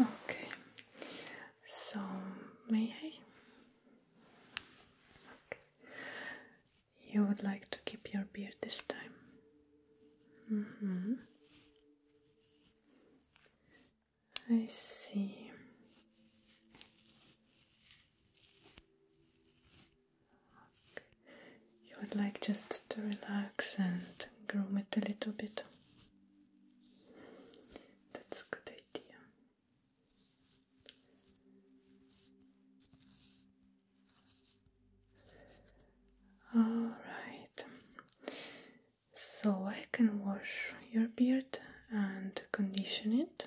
Okay, so may I? Okay. You would like to keep your beard this time? Mm -hmm. I see you would like just to relax and groom it a little bit. That's a good idea. All right. So I can wash your beard and condition it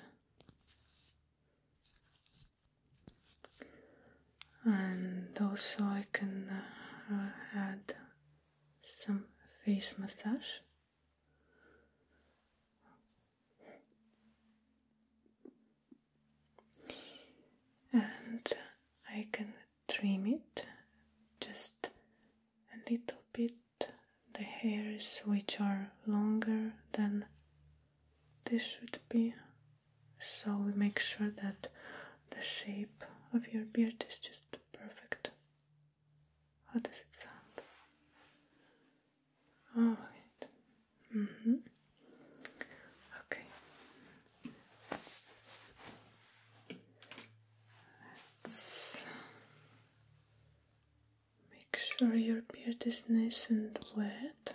and also I can uh, add some face massage. And I can trim it just a little bit the hairs which are longer than they should be so we make sure that the shape of your beard is just perfect. How does it sound? All right. Mm Okay. Let's make sure your beard is nice and wet.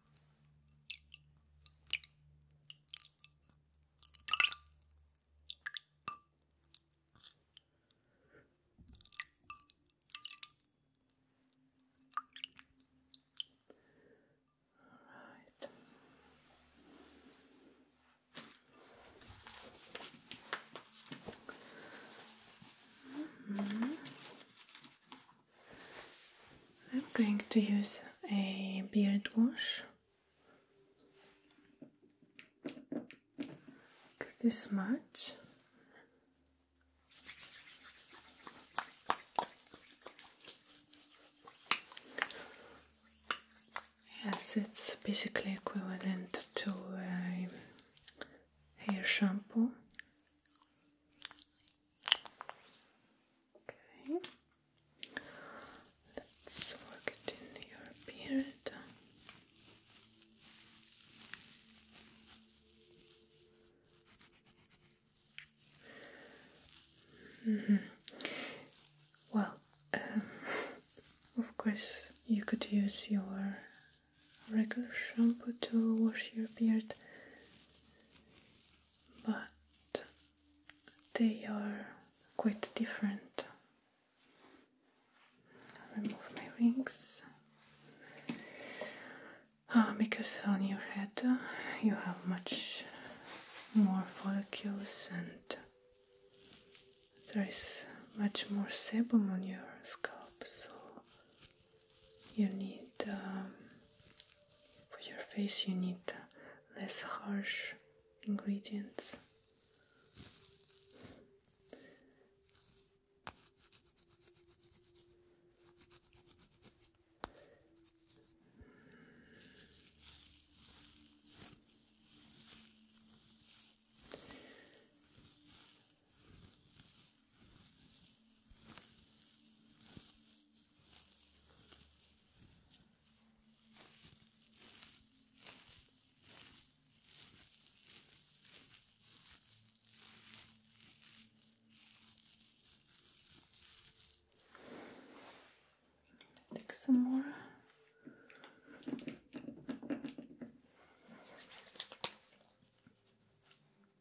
All right. Mm -hmm. I'm going to use a beard wash. This much. Yes, it's basically equivalent to a uh, hair shampoo. Okay. Let's work it in your beard. Mm -hmm. Well, uh, of course, you could use your regular shampoo to wash your beard, but they are quite different. remove my rings ah, because on your head you have much more follicles and there is much more sebum on your scalp, so you need um, for your face, you need less harsh ingredients. Take some more.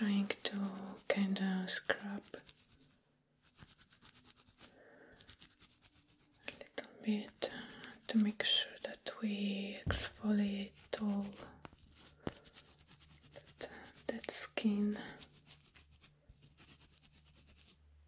I'm trying to kind of scrub a little bit uh, to make sure that we exfoliate all that, uh, that skin.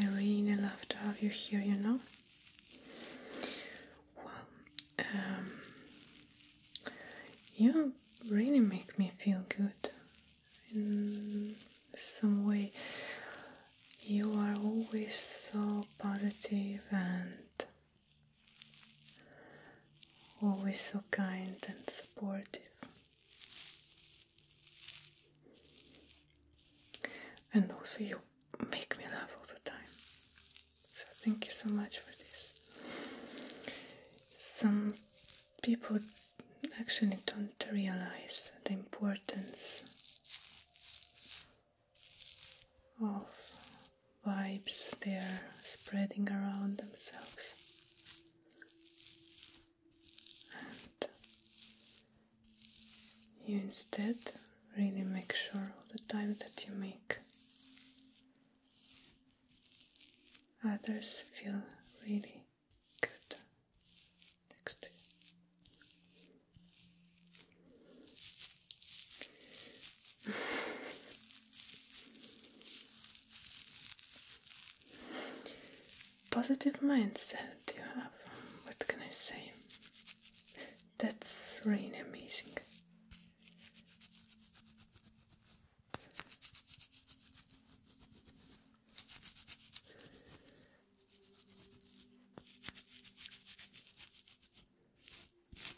I really love to have you here, you know. Well, um, you really make me feel good in some way. You are always so positive and always so kind and supportive. And also, you make me laugh all the time. So, thank you so much for this. Some people actually don't realize the importance of vibes they are spreading around themselves. And you instead really make sure all the time that you make others feel really good next to you. Positive mindset you have, what can I say? That's really amazing.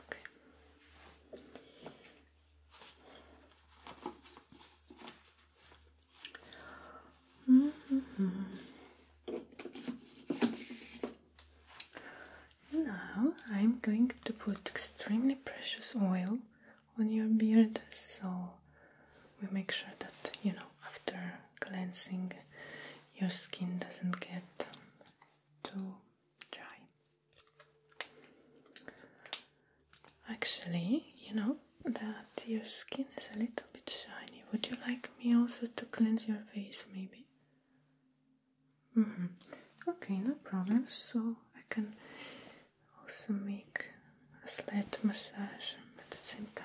Okay. -hmm. Now I'm going to put extremely precious oil on your beard so we make sure that you know after cleansing your skin doesn't get too dry. Actually, you know that your skin is a little bit shiny. Would you like me also to cleanse your face, maybe? Mm-hmm. Okay, no problem. So I can also make a slight massage at the same time.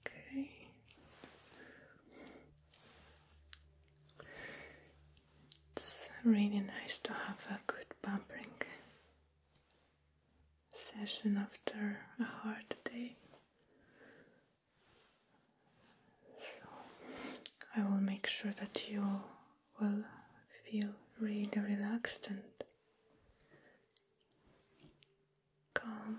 Okay. It's really nice to have a good bumping session after a hard day. So I will make sure that you will feel really relaxed and calm.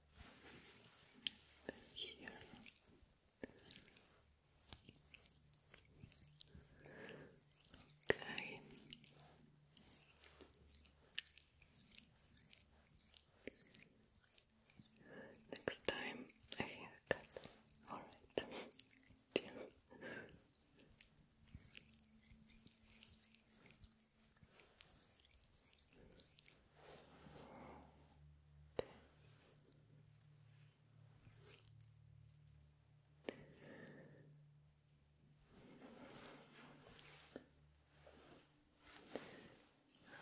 here. Okay. Next time a haircut. All right.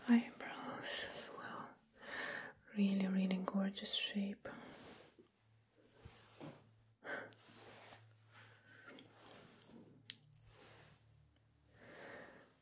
Eyebrows as well. Really, really gorgeous shape.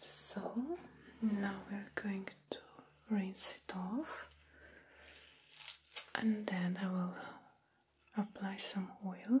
So now we're going to rinse it off, and then I will apply some oil.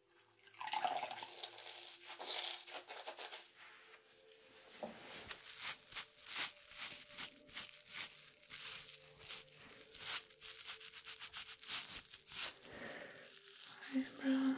Eyebrows.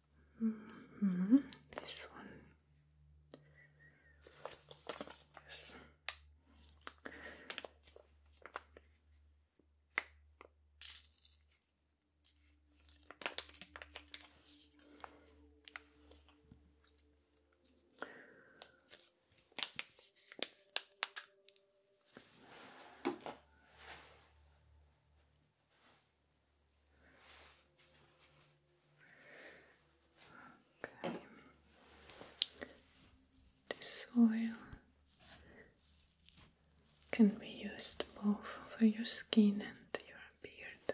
-hmm. This one. This oil can be used both for your skin and your beard.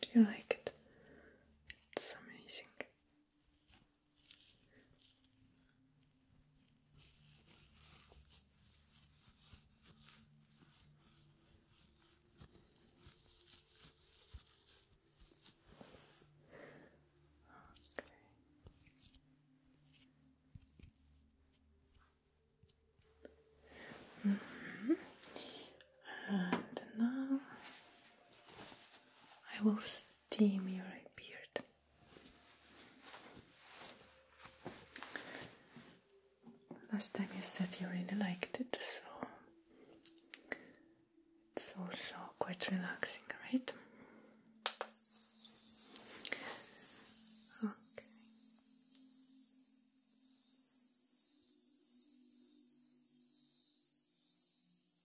Do you like it? It's amazing. Mm -hmm. And now I will steam your beard. Last time you said you really liked it, so it's also quite relaxing, right? It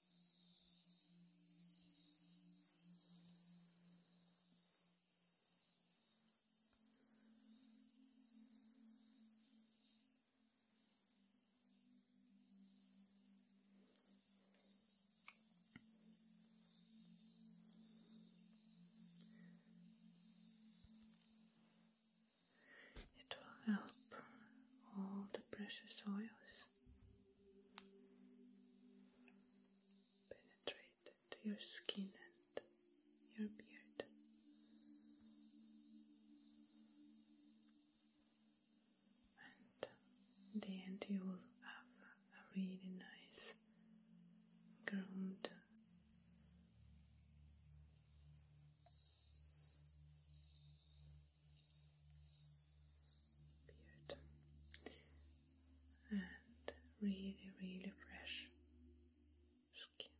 will help all the precious oils penetrate to your skin and your beard. And in the end, you will have a really nice groomed beard and really, really fresh skin.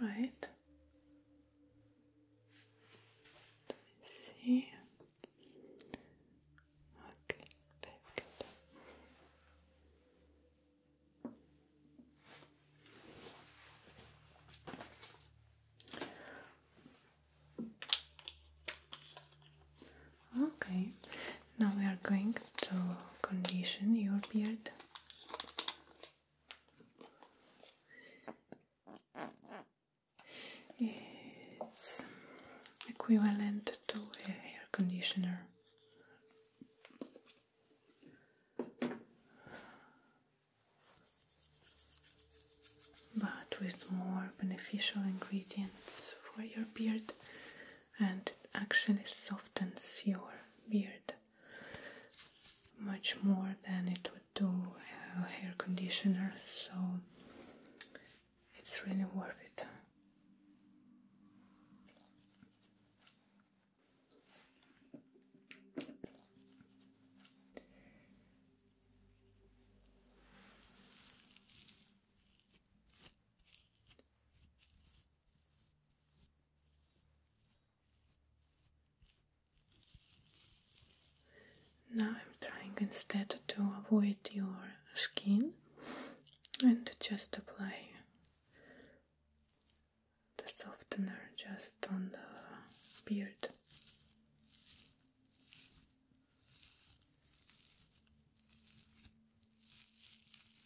All right. Let me see. Okay, very Okay, now we are going to condition your beard. It's equivalent to a hair conditioner. But with more beneficial ingredients for your beard, and it actually softens your beard much more than it would do a hair conditioner, so it's really worth it. Now I'm trying instead to avoid your skin and just apply the softener just on the beard.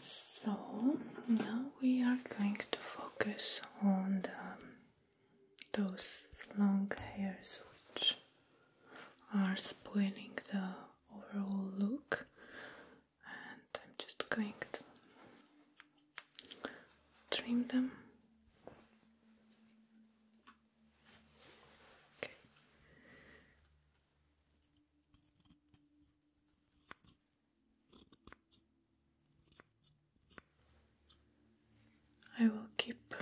So now we are going to focus on those long hairs which are spoiling the overall look, and I'm just going to trim them I will keep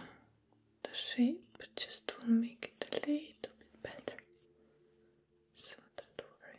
the shape, just to make it a little bit better. So don't worry.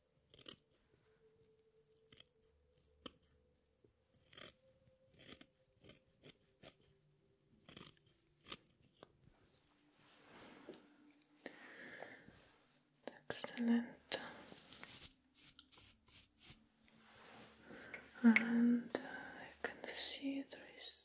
Excellent. And uh, I can see there is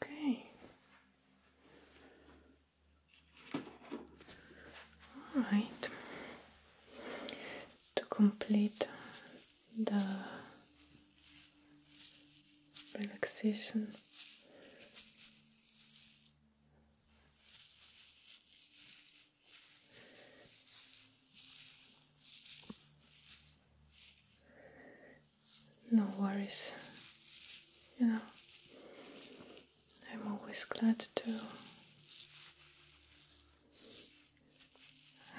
Okay. All right. To complete the relaxation no worries, you know, I'm always glad to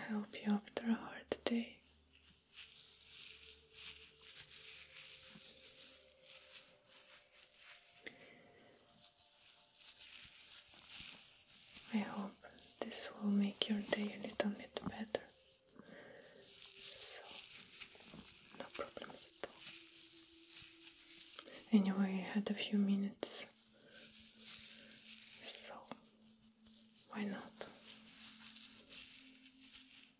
help you after a hard day. I hope this will make your day a little bit better. So, no problems at all. Anyway, I had a few minutes, so why not?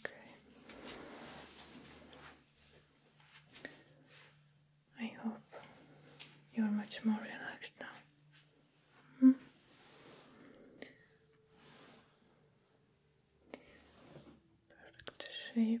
Okay. I hope you're much more relaxed now. Hmm? Perfect shape.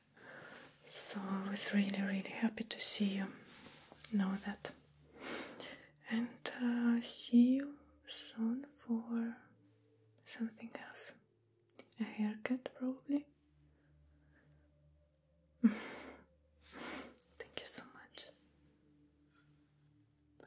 So I was really, really happy to see you, know that. And uh, see you soon for something else. A haircut, probably. Thank you so much. Bye.